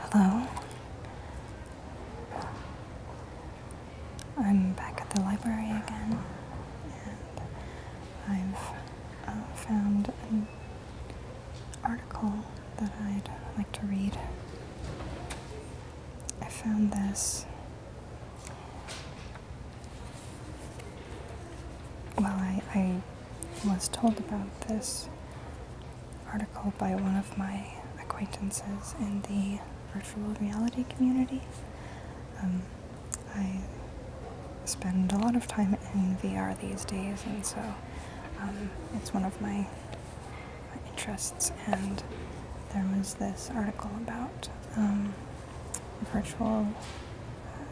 Hello. I'm back at the library again, and I've uh, found an article that I'd like to read. I found this well, I, was told about this article by one of my acquaintances in the virtual reality community. Um, I spend a lot of time in VR these days, and so um, it's one of my, interests. And there was this article about um, virtual,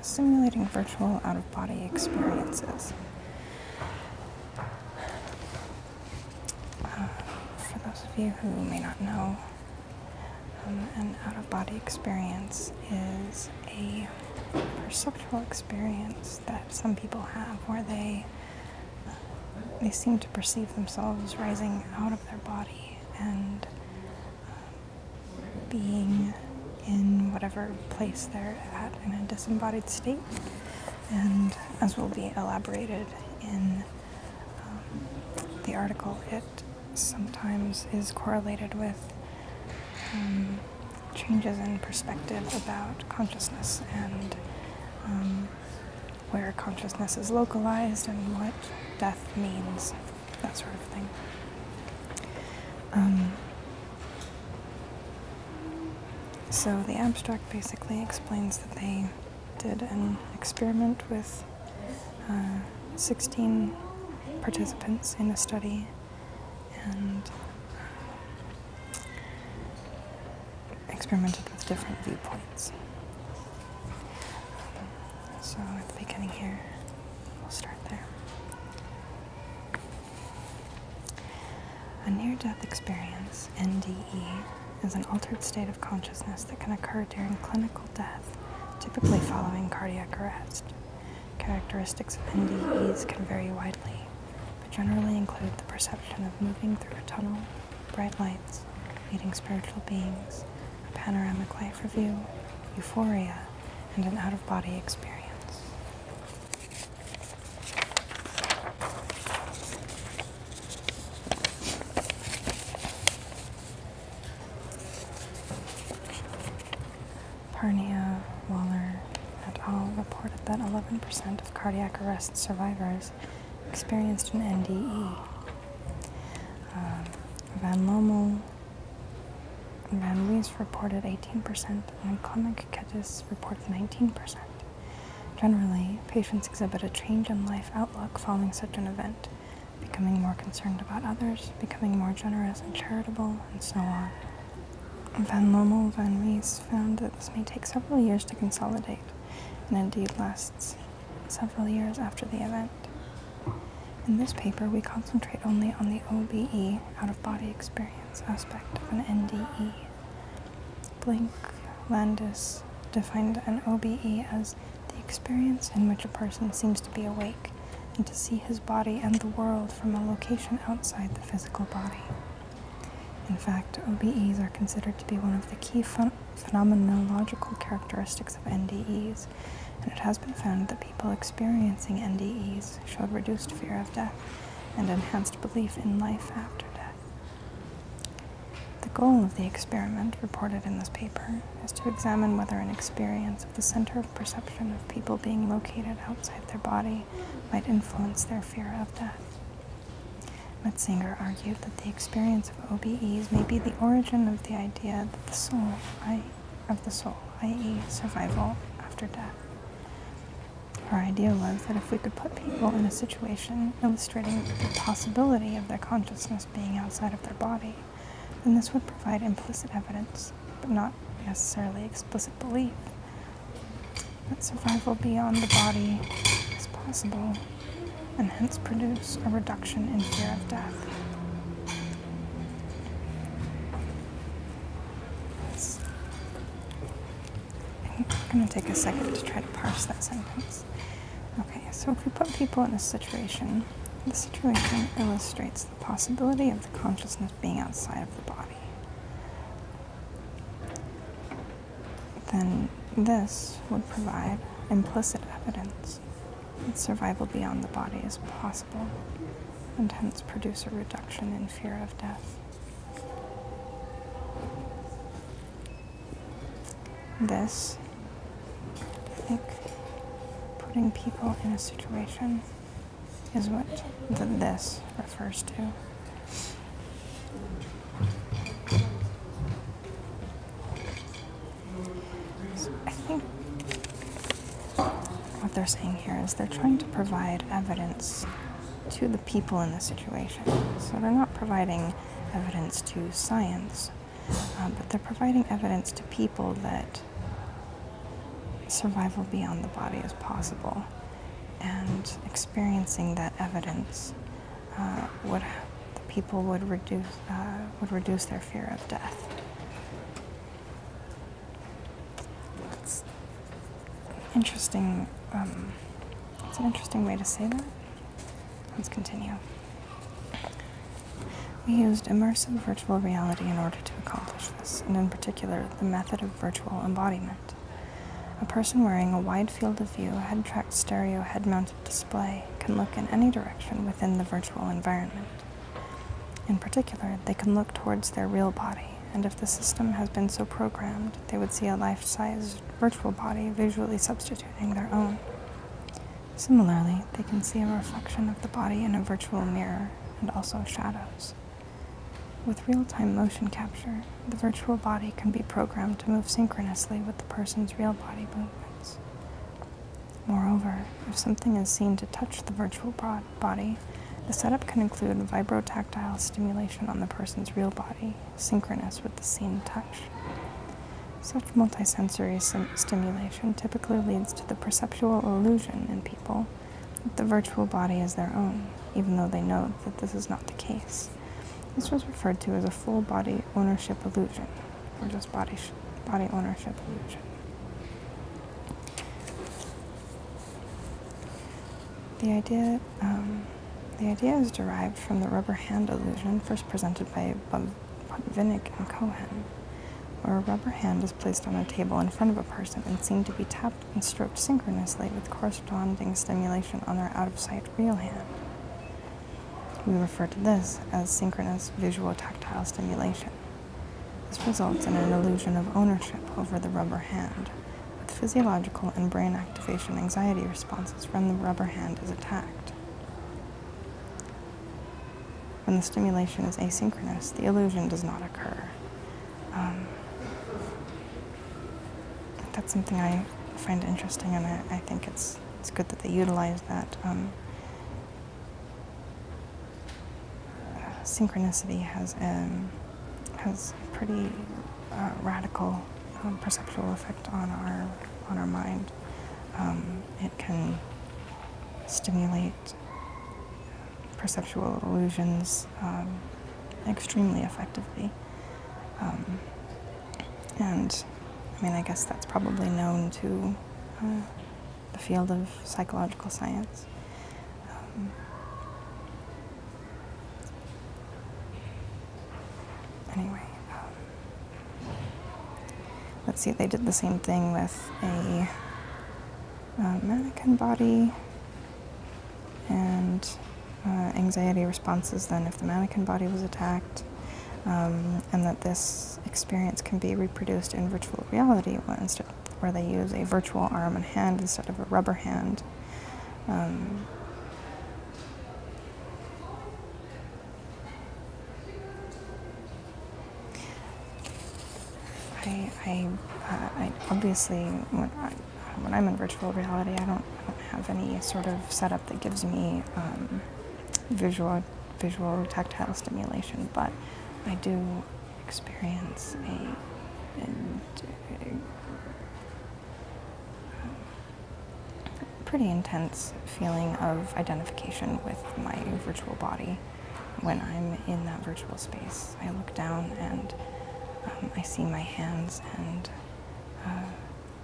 simulating virtual out of body experiences. Uh, for those of you who may not know, um, an out of body experience is a perceptual experience that some people have where they they seem to perceive themselves rising out of their body and um, being in whatever place they're at in a disembodied state, and as will be elaborated in um, the article, it sometimes is correlated with um, changes in perspective about consciousness and um, where consciousness is localized and what death means that sort of thing. Um, so the abstract basically explains that they did an experiment with uh, 16 participants in a study and uh, experimented with different viewpoints. so at the beginning here, We'll start there. A near death experience, NDE, is an altered state of consciousness that can occur during clinical death, typically following cardiac arrest. Characteristics of NDEs can vary widely, but generally include the perception of moving through a tunnel, bright lights, meeting spiritual beings, a panoramic life review, euphoria, and an out of body experience. Parnia, Waller, et al. reported that 11% of cardiac arrest survivors experienced an NDE. Uh, Van Lommel, Malouise reported 18% and chronic Kettis reported 19%. Generally, patients exhibit a change in life outlook following such an event, becoming more concerned about others, becoming more generous and charitable, and so on. Van Lommel van Rees found that this may take several years to consolidate, and indeed lasts several years after the event. In this paper, we concentrate only on the OBE, out of body experience, aspect of an NDE. Blink Landis defined an OBE as the experience in which a person seems to be awake and to see his body and the world from a location outside the physical body. In fact, OBEs are considered to be one of the key phenomenological characteristics of NDEs and it has been found that people experiencing NDEs showed reduced fear of death and enhanced belief in life after death. The goal of the experiment reported in this paper is to examine whether an experience of the center of perception of people being located outside their body might influence their fear of death. Metzinger argued that the experience of OBEs may be the origin of the idea that the soul, of the soul, i.e., survival after death. Our idea was that if we could put people in a situation illustrating the possibility of their consciousness being outside of their body, then this would provide implicit evidence, but not necessarily explicit belief, that survival beyond the body is possible, and hence produce a reduction in fear of death. I'm going to take a second to try to parse that sentence. Okay, so if we put people in a situation, the situation illustrates the possibility of the consciousness being outside of the body. Then this would provide implicit evidence that survival beyond the body is possible and hence produce a reduction in fear of death. This, I think, putting people in a situation is what this refers to. I think what they're saying here is they're trying to provide evidence to the people in the situation. So they're not providing evidence to science, uh, but they're providing evidence to people that survival beyond the body is possible. And experiencing that evidence uh, would the people would reduce uh, would reduce their fear of death. That's interesting. Um, an interesting way to say that. Let's continue. We used immersive virtual reality in order to accomplish this, and in particular, the method of virtual embodiment. A person wearing a wide field of view, head tracked stereo, head mounted display can look in any direction within the virtual environment. In particular, they can look towards their real body, and if the system has been so programmed, they would see a life sized virtual body visually substituting their own. Similarly, they can see a reflection of the body in a virtual mirror and also shadows. With real time motion capture, the virtual body can be programmed to move synchronously with the person's real body movements. Moreover, if something is seen to touch the virtual body, the setup can include vibrotactile stimulation on the person's real body, synchronous with the seen touch. Such multisensory stimulation typically leads to the perceptual illusion in people that the virtual body is their own, even though they know that this is not the case. This was referred to as a full body ownership illusion, or just body, body ownership illusion. The idea, um, the idea is derived from the rubber hand illusion first presented by Botvinnik and Cohen, where a rubber hand is placed on a table in front of a person and seen to be tapped and stroked synchronously with corresponding stimulation on their out-of-sight real hand. We refer to this as synchronous visual tactile stimulation. This results in an illusion of ownership over the rubber hand, with physiological and brain activation anxiety responses when the rubber hand is attacked. When the stimulation is asynchronous, the illusion does not occur. Um, that's something I find interesting, and I, think it's, it's good that they utilize that. Um, synchronicity has um, has a pretty uh, radical um, perceptual effect on our on our mind. Um, it can stimulate perceptual illusions um, extremely effectively. and I mean, I guess that's probably known to uh, the field of psychological science. Um, anyway, um, let's see, they did the same thing with a, uh, mannequin body and uh, anxiety responses then if the mannequin body was attacked. Um, and that this experience can be reproduced in virtual reality instead where they use a virtual arm and hand instead of a rubber hand. Um, I, I, uh, I obviously, when, I, when I'm in virtual reality, I don't, have any sort of setup that gives me um, visual, visual tactile stimulation, but I do experience a, um, pretty intense feeling of identification with my virtual body when I'm in that virtual space. I look down and um, I see my hands and uh,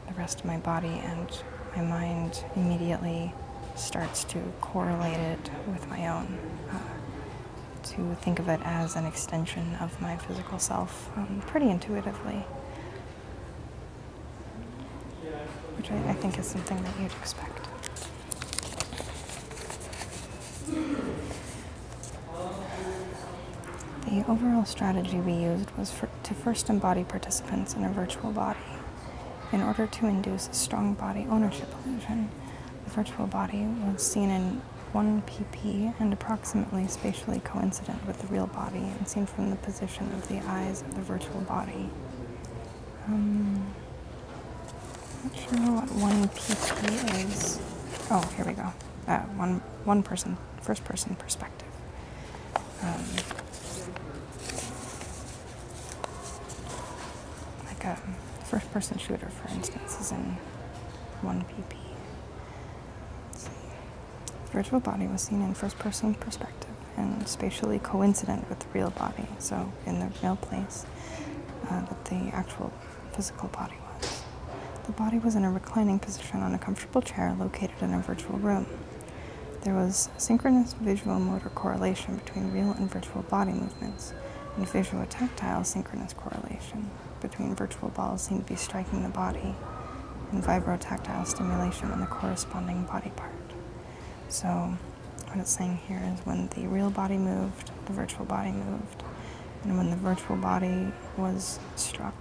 the rest of my body and my mind immediately starts to correlate it with my own, uh, to think of it as an extension of my physical self um, pretty intuitively, which I, think is something that you'd expect. The overall strategy we used was to first embody participants in a virtual body in order to induce strong body ownership illusion. The virtual body was seen in 1pp and approximately spatially coincident with the real body and seen from the position of the eyes of the virtual body. Um, not sure what 1pp is. Oh, here we go. Uh, one, one person, first person perspective. Um, like a um, first person shooter, for instance, is in 1 pp. The virtual body was seen in first person perspective and spatially coincident with the real body, so in the real place uh, that the actual physical body was. The body was in a reclining position on a comfortable chair located in a virtual room. There was synchronous visual motor correlation between real and virtual body movements and visual tactile synchronous correlation between virtual balls seen to be striking the body and vibrotactile stimulation on the corresponding body part. So what it's saying here is when the real body moved, the virtual body moved, and when the virtual body was struck,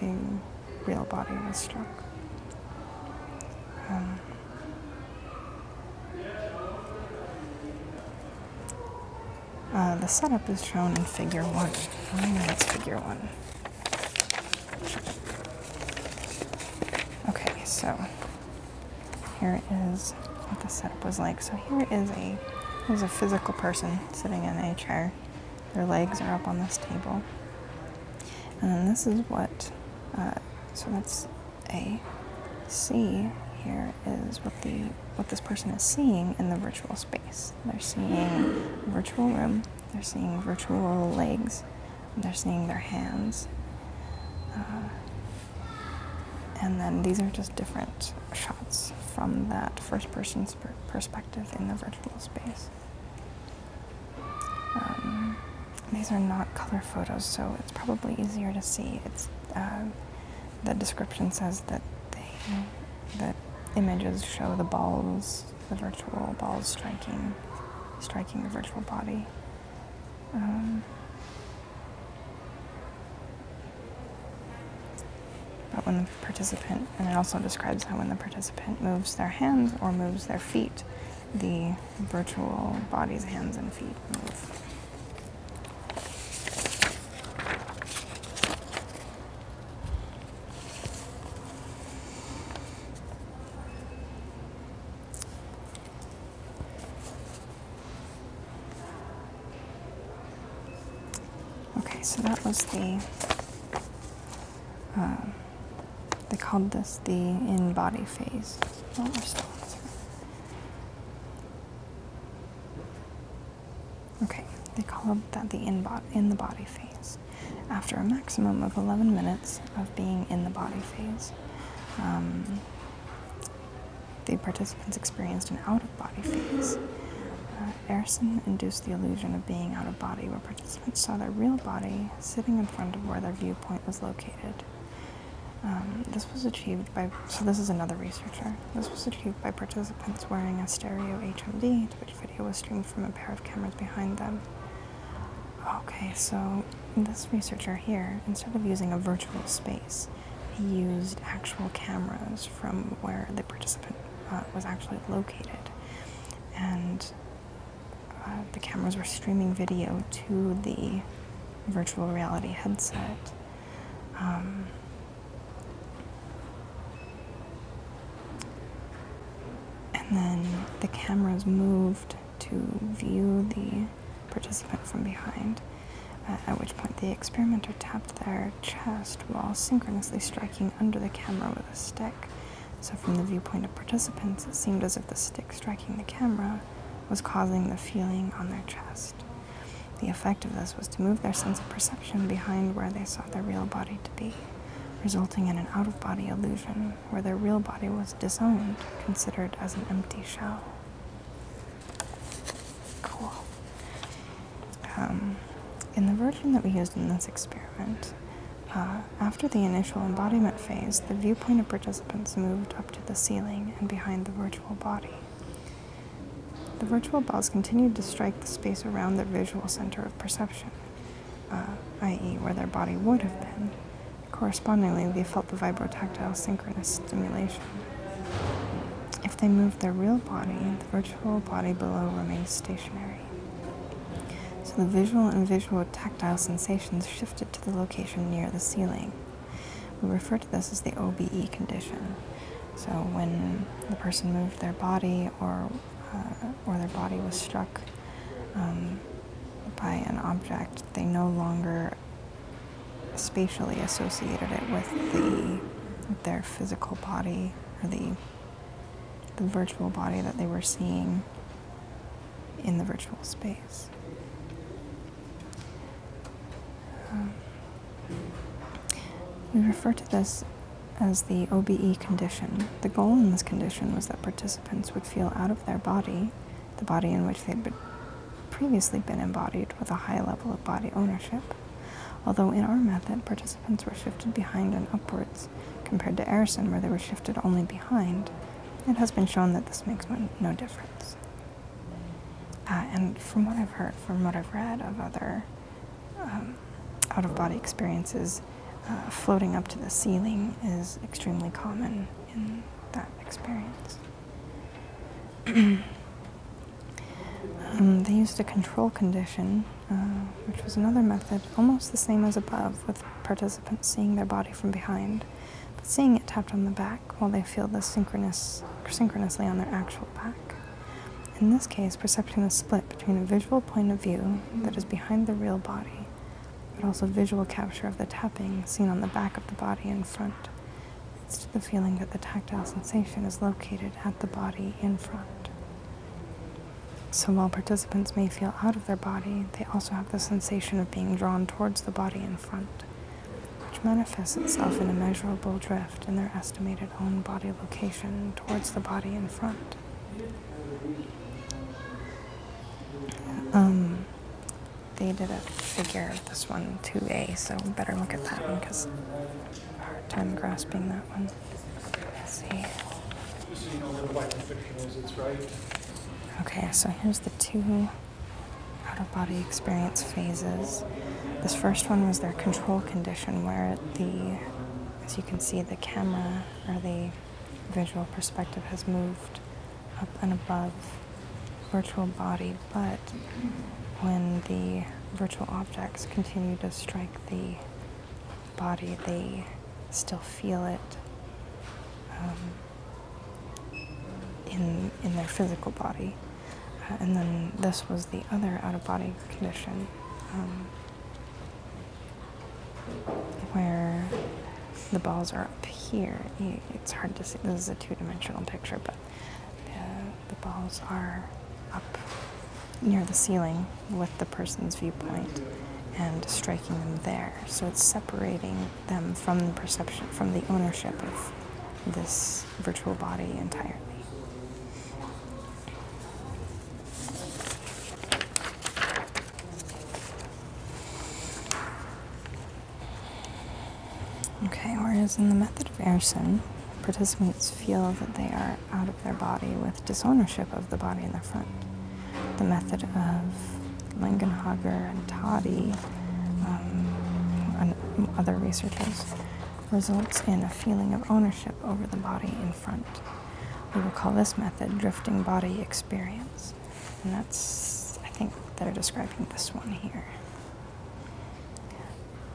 the real body was struck. Um, uh, the setup is shown in figure one. I know it's figure one. Okay, so here is what the setup was like. So here is a there's a physical person sitting in a chair. Their legs are up on this table. And then this is what, uh, so that's a C here is what the what this person is seeing in the virtual space. They're seeing virtual room, they're seeing virtual legs, they're seeing their hands. Uh, and then these are just different shots from that first person's perspective in the virtual space. Um, these are not color photos, so it's probably easier to see. It's um, the description says that the images show the balls, the virtual balls striking, striking the virtual body. Um, but when the participant, and it also describes how when the participant moves their hands or moves their feet, the virtual body's hands and feet move. Okay, so that was the. Um, they called this the in body phase. Okay, they call that the in, in the body phase. After a maximum of 11 minutes of being in the body phase, um, the participants experienced an out of body phase. Uh, induced the illusion of being out of body, where participants saw their real body sitting in front of where their viewpoint was located. Um, this was achieved by, so this is another researcher. This was achieved by participants wearing a stereo HMD which video was streamed from a pair of cameras behind them. Okay, so this researcher here, instead of using a virtual space, he used actual cameras from where the participant uh, was actually located. And uh, the cameras were streaming video to the virtual reality headset. Um, and then the camera's moved to view the participant from behind, uh, at which point the experimenter tapped their chest while synchronously striking under the camera with a stick. So, from the viewpoint of participants, it seemed as if the stick striking the camera was causing the feeling on their chest. The effect of this was to move their sense of perception behind where they saw their real body to be, resulting in an out of body illusion where their real body was disowned, considered as an empty shell. Cool. Um, in the version that we used in this experiment, uh, after the initial embodiment phase, the viewpoint of participants moved up to the ceiling and behind the virtual body. The virtual balls continued to strike the space around their visual center of perception, uh, i.e., where their body would have been. Correspondingly, they felt the vibrotactile synchronous stimulation. If they moved their real body, the virtual body below remained stationary. So the visual and visual tactile sensations shifted to the location near the ceiling. We refer to this as the OBE condition. So when the person moved their body or, uh, or their body was struck um, by an object, they no longer spatially associated it with with their physical body or the the virtual body that they were seeing in the virtual space we refer to this as the OBE condition. The goal in this condition was that participants would feel out of their body, the body in which they'd previously been embodied with a high level of body ownership, although in our method, participants were shifted behind and upwards compared to Arison, where they were shifted only behind. It has been shown that this makes no difference. Uh, and from what I've heard, from what I've read of other um, out of body experiences, uh, floating up to the ceiling is extremely common in that experience. Um, they used a control condition, uh, which was another method, almost the same as above, with participants seeing their body from behind but seeing it tapped on the back while they feel this synchronously on their actual back. In this case, perception is split between a visual point of view that is behind the real body, but also visual capture of the tapping seen on the back of the body in front. Leads to the feeling that the tactile sensation is located at the body in front. So while participants may feel out of their body, they also have the sensation of being drawn towards the body in front, which manifests itself in a measurable drift in their estimated own body location towards the body in front. Um, they did a figure of this one 2a, so better look at that one because hard time grasping that one. see. Okay, so here's the two out of body experience phases. This first one was their control condition, where the, as you can see, the camera or the visual perspective has moved up and above virtual body, but when the virtual objects continue to strike the body, they still feel it. Um, in, in their physical body. Uh, and then this was the other out of body condition um, where the balls are up here. it's hard to see, this is a two dimensional picture, but uh, the balls are up near the ceiling with the person's viewpoint and striking them there. So it's separating them from the perception, from the ownership of this virtual body entirely. Okay, whereas in the method of Erson, participants feel that they are out of their body with disownership of the body in the front. The method of Langenhager and Toddy, um, and other researchers, results in a feeling of ownership over the body in front. We will call this method drifting body experience. And that's, I think, they're describing this one here.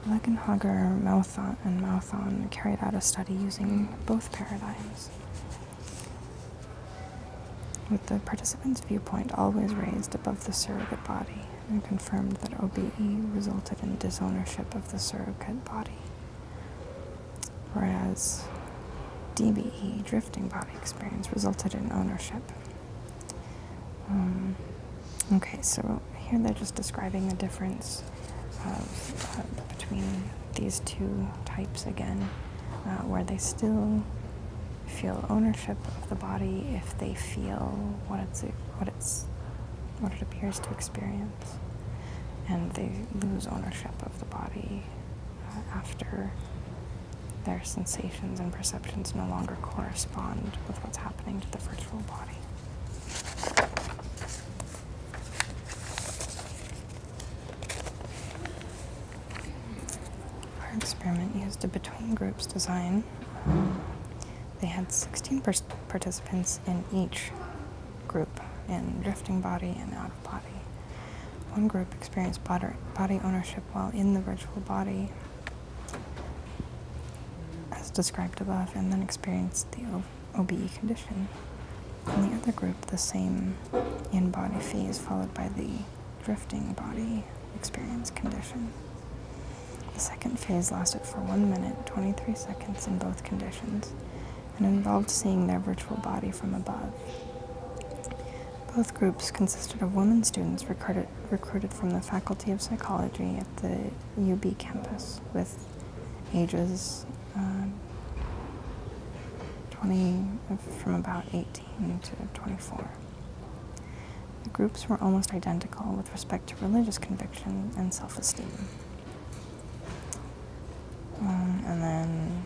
Legenhager, Mauthon, and Mauthon carried out a study using both paradigms. With the participant's viewpoint always raised above the surrogate body, and confirmed that OBE resulted in disownership of the surrogate body, whereas DBE, drifting body experience, resulted in ownership. Um, okay, so here they're just describing the difference between these two types again, uh, where they still feel ownership of the body, if they feel what it's what it's what it appears to experience, and they lose ownership of the body uh, after their sensations and perceptions no longer correspond with what's happening to the virtual body. Our experiment used a between groups design. They had 16 participants in each group in drifting body and out of body. One group experienced body ownership while in the virtual body, as described above, and then experienced the OBE condition. In the other group, the same in body phase followed by the drifting body experience condition. The second phase lasted for 1 minute, 23 seconds in both conditions, and involved seeing their virtual body from above. Both groups consisted of women students recruited, recruited from the Faculty of Psychology at the UB campus with ages uh, 20 from about eighteen. Into 24. The groups were almost identical with respect to religious conviction and self esteem. Um, and then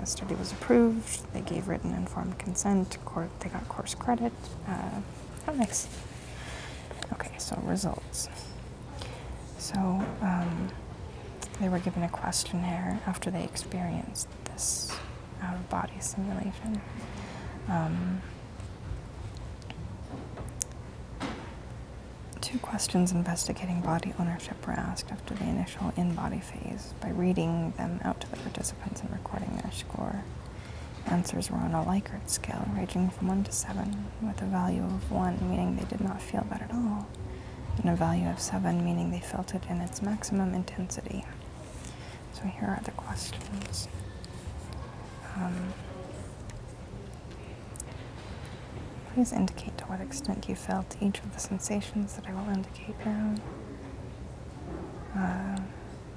the study was approved, they gave written informed consent, they got course credit. Uh, that makes. Okay, so results. So um, they were given a questionnaire after they experienced this out of body simulation. Um, two questions investigating body ownership were asked after the initial in body phase by reading them out to the participants and recording their score. Answers were on a Likert scale ranging from 1 to 7, with a value of 1 meaning they did not feel that at all, and a value of 7 meaning they felt it in its maximum intensity. So here are the questions. Um, please indicate to what extent you felt each of the sensations that I will indicate now. Uh,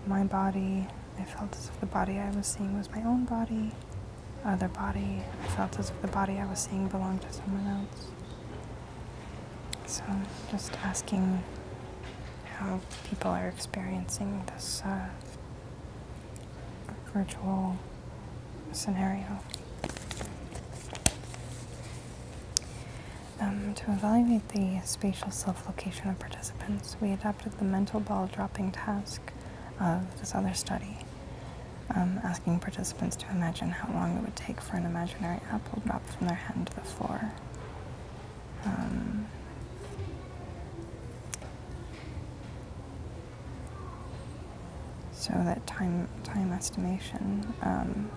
my body, I felt as if the body I was seeing was my own body. Other body, I felt as if the body I was seeing belonged to someone else. So, just asking how people are experiencing this uh, virtual scenario. Um, to evaluate the spatial self-location of participants, we adopted the mental ball dropping task of this other study, um, asking participants to imagine how long it would take for an imaginary apple drop from their hand to the floor. Um, so that time time estimation, um,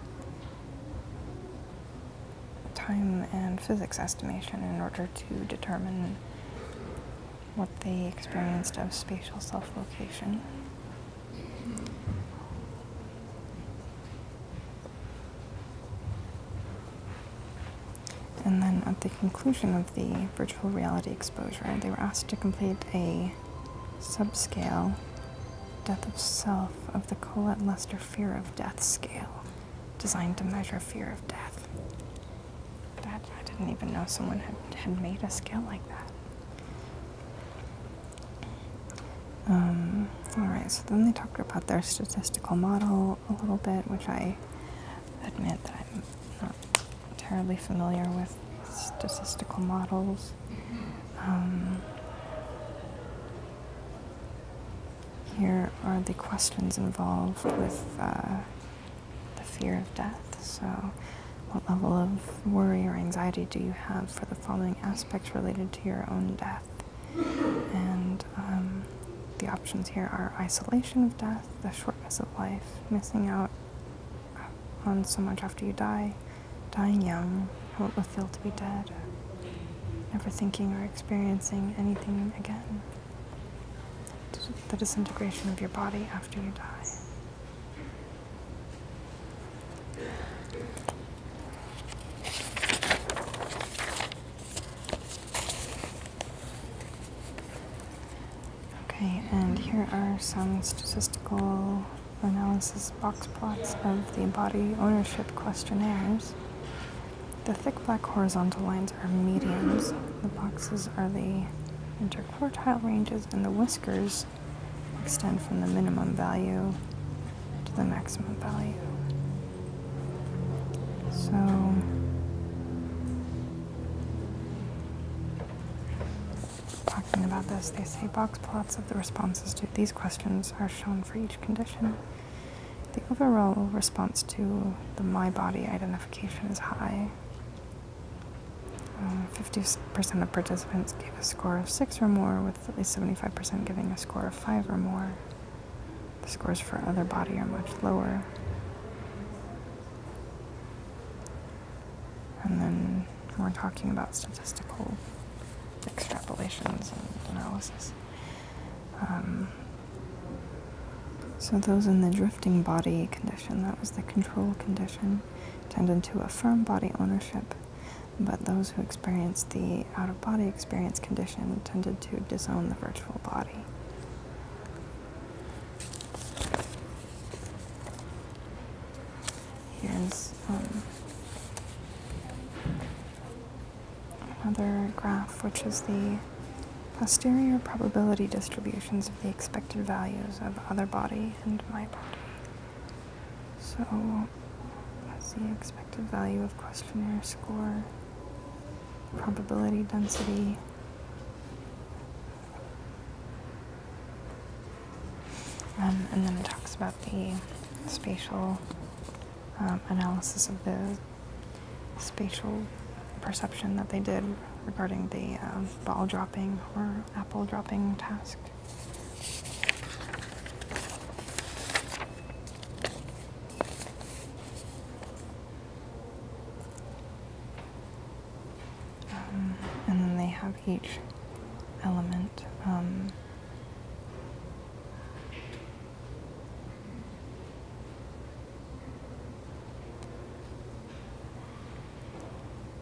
time and physics estimation, in order to determine what they experienced of spatial self-location. And then at the conclusion of the virtual reality exposure, they were asked to complete a subscale death of self of the Colette Lester fear of death scale, designed to measure fear of death. I didn't even know someone had, had made a scale like that. Um, all right, so then they talked about their statistical model a little bit, which I admit that I'm not terribly familiar with statistical models. Um, here are the questions involved with uh, the fear of death. So, what level of worry or anxiety do you have for the following aspects related to your own death? And um, the options here are isolation of death, the shortness of life, missing out on so much after you die, dying young, how it will feel to be dead, never thinking or experiencing anything again, the disintegration of your body after you die. Okay, and here are some statistical analysis box plots of the body ownership questionnaires. The thick black horizontal lines are medians, the boxes are the interquartile ranges, and the whiskers extend from the minimum value to the maximum value. So talking about this, they say box plots of the responses to these questions are shown for each condition. The overall response to the my body identification is high. 50% uh, of participants gave a score of 6 or more, at least 75% giving a score of 5 or more. The scores for other body are much lower. And then we're talking about statistical extrapolations and analysis. Um, so those in the drifting body condition, that was the control condition, tended to affirm body ownership but those who experienced the out of body experience condition tended to disown the virtual body. Here's um, another graph, which is the posterior probability distributions of the expected values of other body and my body. So that's the expected value of questionnaire score, probability density. Um, and then it talks about the spatial um, analysis of the spatial perception that they did regarding the um, ball dropping or apple dropping task. Um, and then they have each element. Um,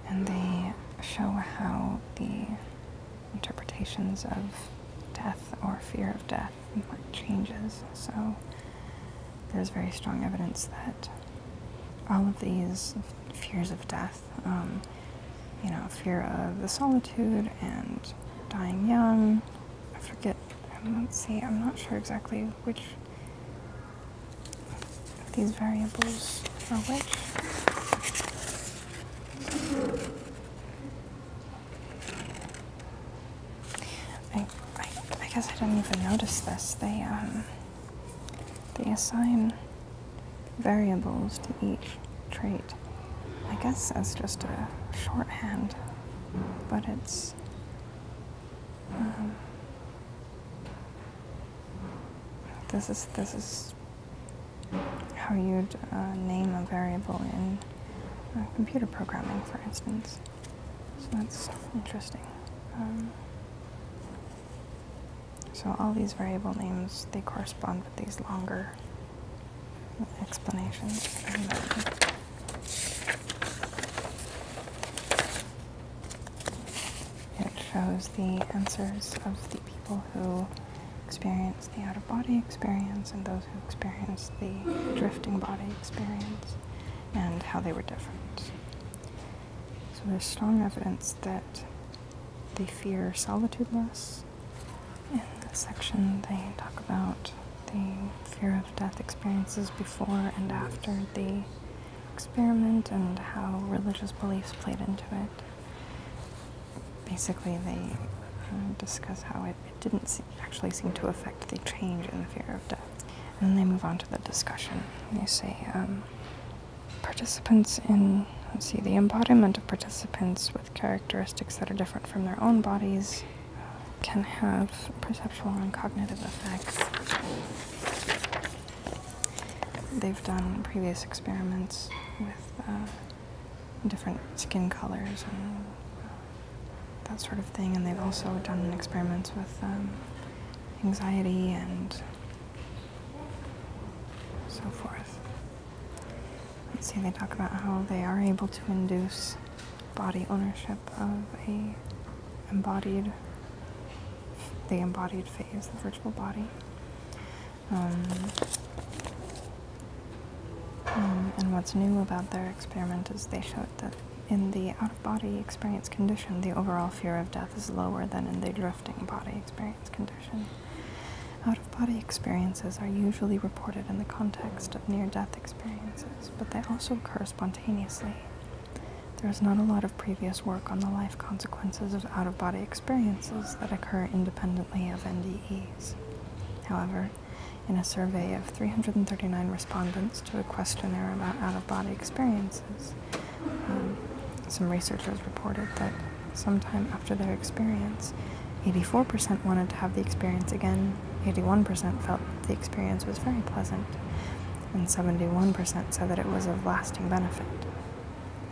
and they show how the interpretations of death or fear of death like changes. So there's very strong evidence that all of these fears of death, um, you know, fear of the solitude and dying young. I forget. Um, let's see. I'm not sure exactly which of these variables are which. I, I, guess I didn't even notice this. They, um, they assign variables to each trait. I guess that's just a shorthand, but it's. Um, this is this is how you'd uh, name a variable in uh, computer programming, for instance. So that's interesting. Um, so all these variable names, they correspond with these longer explanations. It shows the answers of people who experienced the out of body experience and those who experienced the drifting body experience and how they were different. So there's strong evidence that they fear solitude loss. In this section, they talk about the fear of death experiences before and after the experiment and how religious beliefs played into it basically they uh, discuss how it, didn't actually seem to affect the change in the fear of death. And then they move on to the discussion. They say um, participants in, see, the embodiment of participants with characteristics that are different from their own bodies uh, can have perceptual and cognitive effects. They've done previous experiments with. Uh, different skin colors and that sort of thing. And they've also done experiments with um, anxiety and so forth. Let's see, they talk about how they are able to induce body ownership of a embodied, the embodied phase, the virtual body. Um, um, and what's new about their experiment is they showed that in the out-of-body experience condition, the overall fear of death is lower than in the drifting body experience condition. Out-of-body experiences are usually reported in the context of near-death experiences, but they also occur spontaneously. There is not a lot of previous work on the life consequences of out-of-body experiences that occur independently of NDE. However, in a survey of 339 respondents to a questionnaire about out of body experiences, um, some researchers reported that sometime after their experience, 84% wanted to have the experience again, 81% felt the experience was very pleasant, and 71% said that it was of lasting benefit.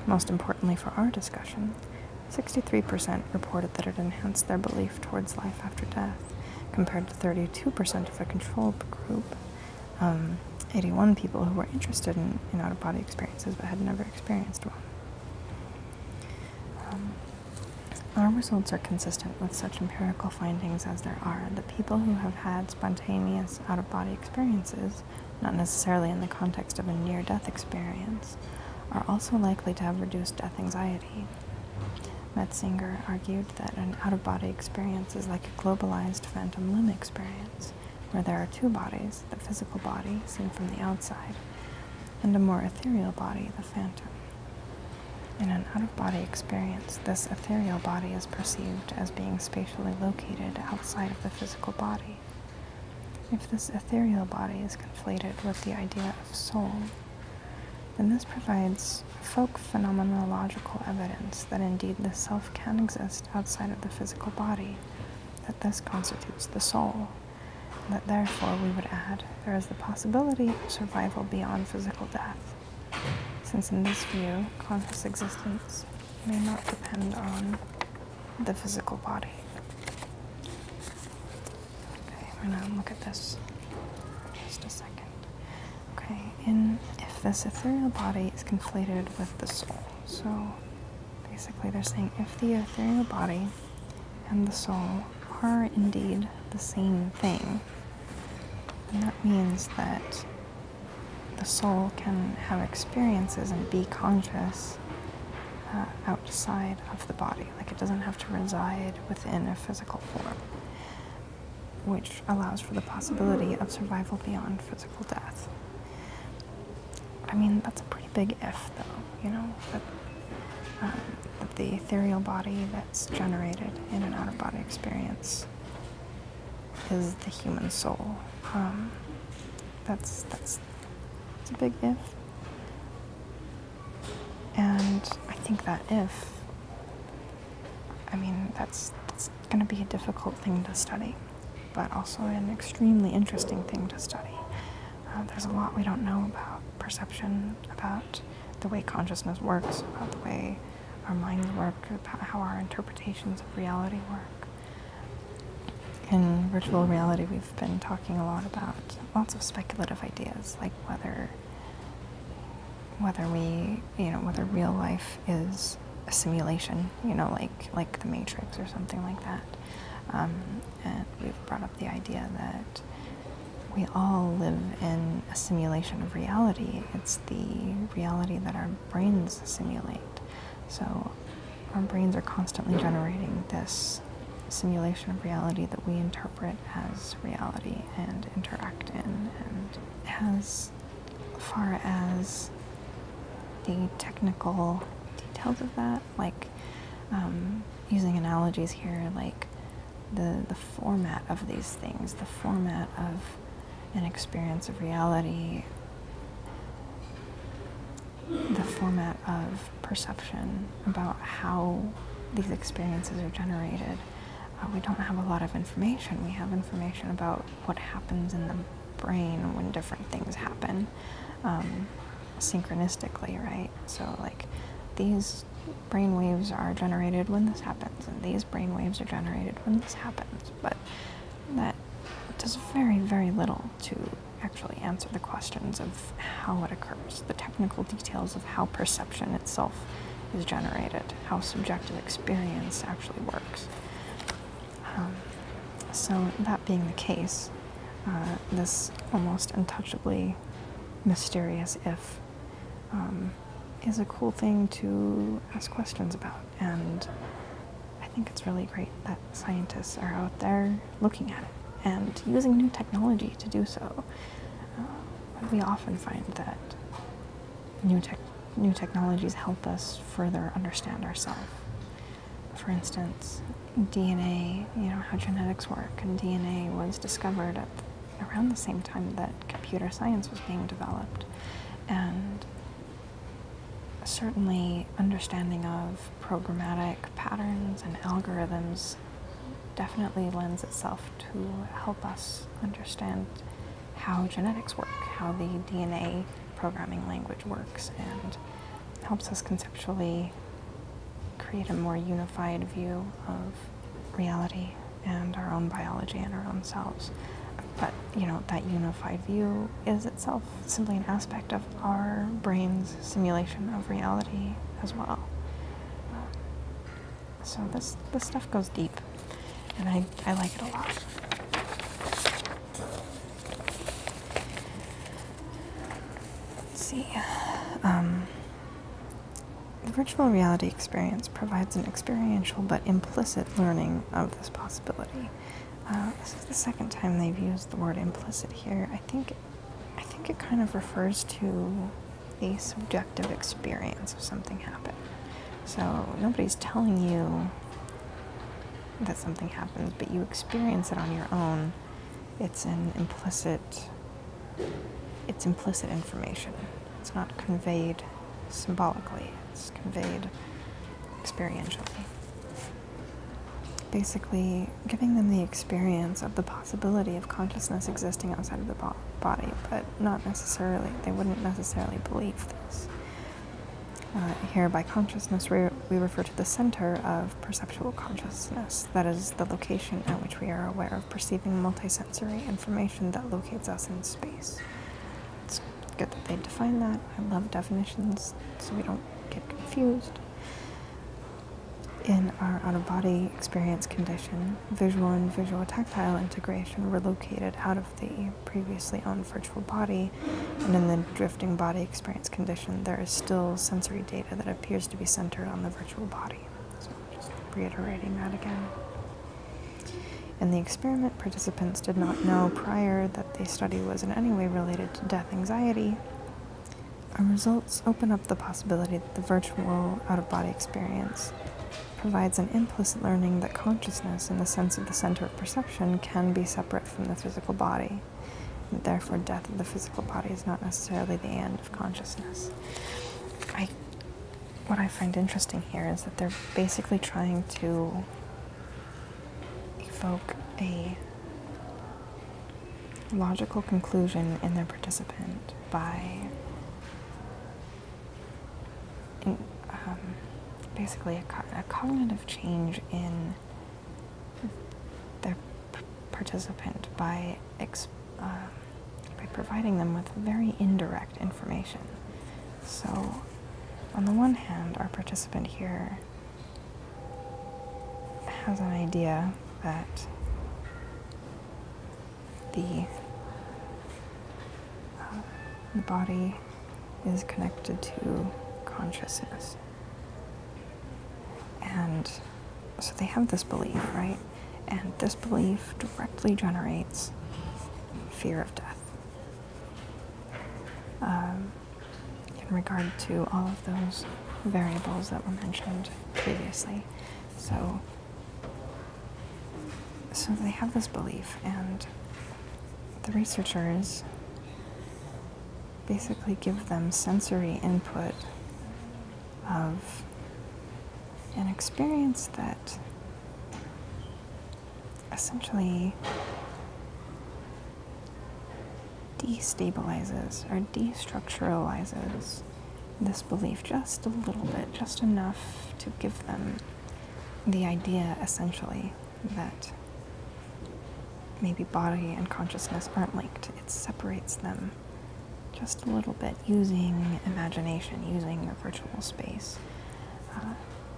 Most importantly for our discussion, 63% reported that it enhanced their belief towards life after death, compared to 32% of a control group. Um, 81 people who were interested in, out of body experiences but had never experienced one. Um, our results are consistent with such empirical findings as there are that people who have had spontaneous out of body experiences, not necessarily in the context of a near death experience, are also likely to have reduced death anxiety. Metzinger argued that an out of body experience is like a globalized phantom limb experience, where there are two bodies the physical body, seen from the outside, and a more ethereal body, the phantom. In an out of body experience, this ethereal body is perceived as being spatially located outside of the physical body. If this ethereal body is conflated with the idea of soul, then this provides folk phenomenological evidence that indeed the self can exist outside of the physical body, that this constitutes the soul, and that therefore we would add there is the possibility of survival beyond physical death, since in this view, conscious existence may not depend on the physical body. Okay, we're gonna look at this just a second. Okay, in if this ethereal body is conflated with the soul. So basically they're saying if the ethereal body and the soul are indeed the same thing, that means that the soul can have experiences and be conscious uh, outside of the body. Like it doesn't have to reside within a physical form, which allows for the possibility of survival beyond physical death. I mean, that's a pretty big if, though, you know, that, um, the ethereal body that's generated in an out of body experience is the human soul. Um, that's that's it's a big if. And I think that if, I mean, that's, going to be a difficult thing to study, but also an extremely interesting thing to study. Uh, there's a lot we don't know about perception, about the way consciousness works, about the way our minds work, about how our interpretations of reality work. In virtual reality, we we've been talking a lot about lots of speculative ideas, like whether whether we, you know, whether real life is a simulation, you know, like like the Matrix or something like that. Um, and we've brought up the idea that we all live in a simulation of reality. It's the reality that our brains simulate. So our brains are constantly generating this simulation of reality that we interpret as reality and interact in, and as far as the technical details of that, like um, using analogies here, like the the format of these things, the format of an experience of reality the format of perception about how these experiences are generated. Uh, we don't have a lot of information. We have information about what happens in the brain when different things happen um, synchronistically, right? So, like, these brain waves are generated when this happens, and these brain waves are generated when this happens. But that does very, very little to actually answer the questions of how it occurs, the technical details of how perception itself is generated, how subjective experience actually works. Um, so, that being the case, uh, this almost untouchably mysterious if um, is a cool thing to ask questions about, and I think it's really great that scientists are out there looking at it and using new technology to do so. Uh, we often find that new, tech new technologies help us further understand ourselves. For instance, DNA, you know, how genetics work, and DNA was discovered at around the same time that computer science was being developed. And certainly understanding of programmatic patterns and algorithms definitely lends itself to help us understand how genetics work, how the DNA programming language works, and helps us conceptually create a more unified view of reality and our own biology and our own selves. But, you know, that unified view is itself simply an aspect of our brain's simulation of reality as well. Uh, so this this stuff goes deep, and I I like it a lot. Let's see. Um, the virtual reality experience provides an experiential but implicit learning of this possibility. Uh, this is the second time they've used the word implicit here. I think I think it kind of refers to the subjective experience of something happening. So nobody's telling you that something happens, but you experience it on your own. It's an implicit it's implicit information. It's not conveyed symbolically, it's conveyed experientially basically giving them the experience of the possibility of consciousness existing outside of the body, but not necessarily, they wouldn't necessarily believe this. Uh, here, by consciousness, we refer to the center of perceptual consciousness, that is, the location at which we are aware of perceiving multisensory information that locates us in space. It's good that they define that. I love definitions so we don't get confused. In our out-of-body experience condition, visual and visual-tactile integration were located out of the previously owned virtual body, and in the drifting body experience condition, there is still sensory data that appears to be centered on the virtual body. So just reiterating that again. In the experiment, participants did not know prior that the study was in any way related to death anxiety, our results open up the possibility that the virtual out of body experience provides an implicit learning that consciousness, in the sense of the center of perception, can be separate from the physical body. And therefore, death of the physical body is not necessarily the end of consciousness. I, what I find interesting here is that they're basically trying to evoke a logical conclusion in their participant by um, basically a, cognitive change in their participant by um, by providing them with very indirect information. So, on the one hand, our participant here has an idea that the, uh, the body is connected to consciousness. And so they have this belief, right? And this belief directly generates fear of death. Um, in regard to all of those variables that were mentioned previously. So, so they have this belief, and the researchers basically give them sensory input of an experience that essentially destabilizes or destructuralizes this belief just a little bit, just enough to give them the idea essentially that maybe body and consciousness aren't linked. It separates them just a little bit using imagination, using a virtual space. Uh,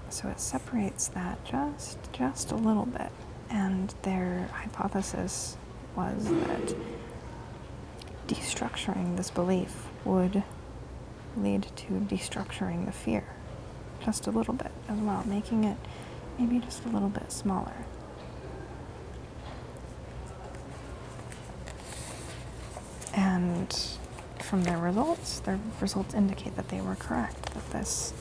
so it separates that just just a little bit, and their hypothesis was that destructuring this belief would lead to destructuring the fear just a little bit as well, making it maybe just a little bit smaller. And from their results, their results indicate that they were correct, that this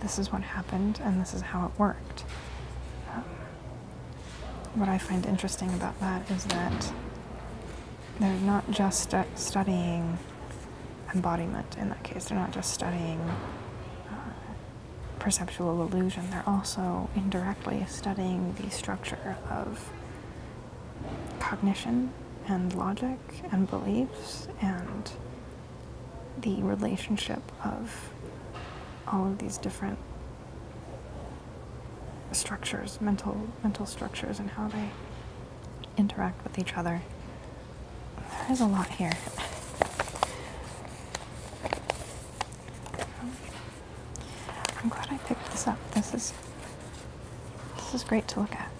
this is what happened and this is how it worked. Um, what I find interesting about that is that they're not just studying embodiment in that case, they're not just studying uh, perceptual illusion, they're also indirectly studying the structure of cognition and logic and beliefs and the relationship of all of these different structures, mental mental structures, and how they interact with each other. There is a lot here. I'm glad I picked this up. This is this is great to look at.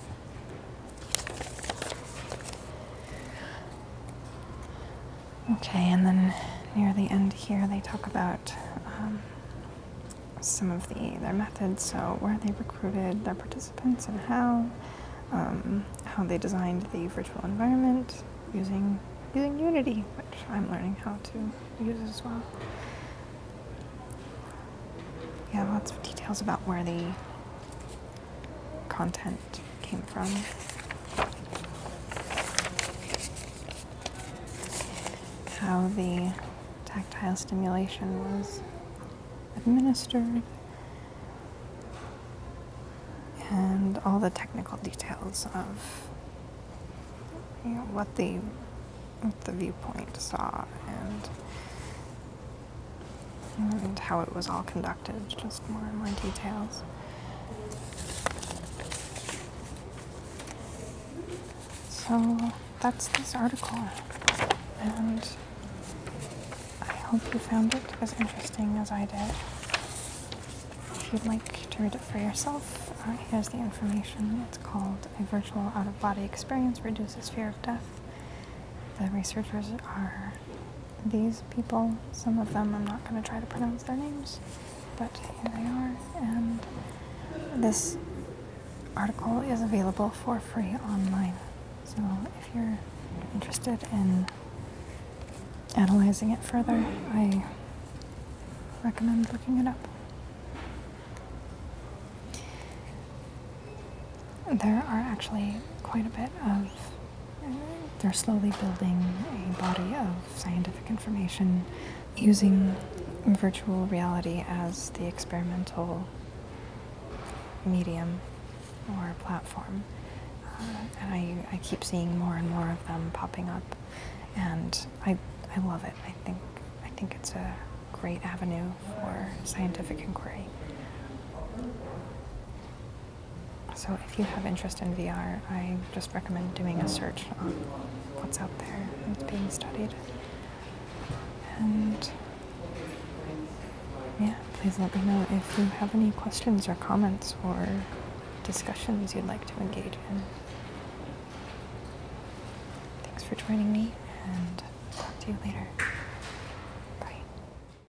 Okay, and then near the end here, they talk about um, some of the their methods. So where they recruited their participants and how, um, how they designed the virtual environment using using Unity, which I'm learning how to use as well. Yeah, lots of details about where the content came from. How the tactile stimulation was administered, and all the technical details of what the what the viewpoint saw and and how it was all conducted, just more and more details. So that's this article, and I hope you found it as interesting as I did. If you'd like to read it for yourself, uh, here's the information. It's called A Virtual Out of Body Experience Reduces Fear of Death. The researchers are these people, some of them, I'm not going to try to pronounce their names, but here they are. And this article is available for free online. So if you're interested in analyzing it further, I recommend looking it up. There are actually quite a bit of they're slowly building a body of scientific information using virtual reality as the experimental medium or platform. Uh, and I, I keep seeing more and more of them popping up, and I, I love it. I think, I think it's a great avenue for scientific inquiry. So if you have interest in VR, I just recommend doing a search on what's out there and being studied. And yeah, please let me know if you have any questions or comments or discussions you'd like to engage in. Thanks for joining me and talk to you later.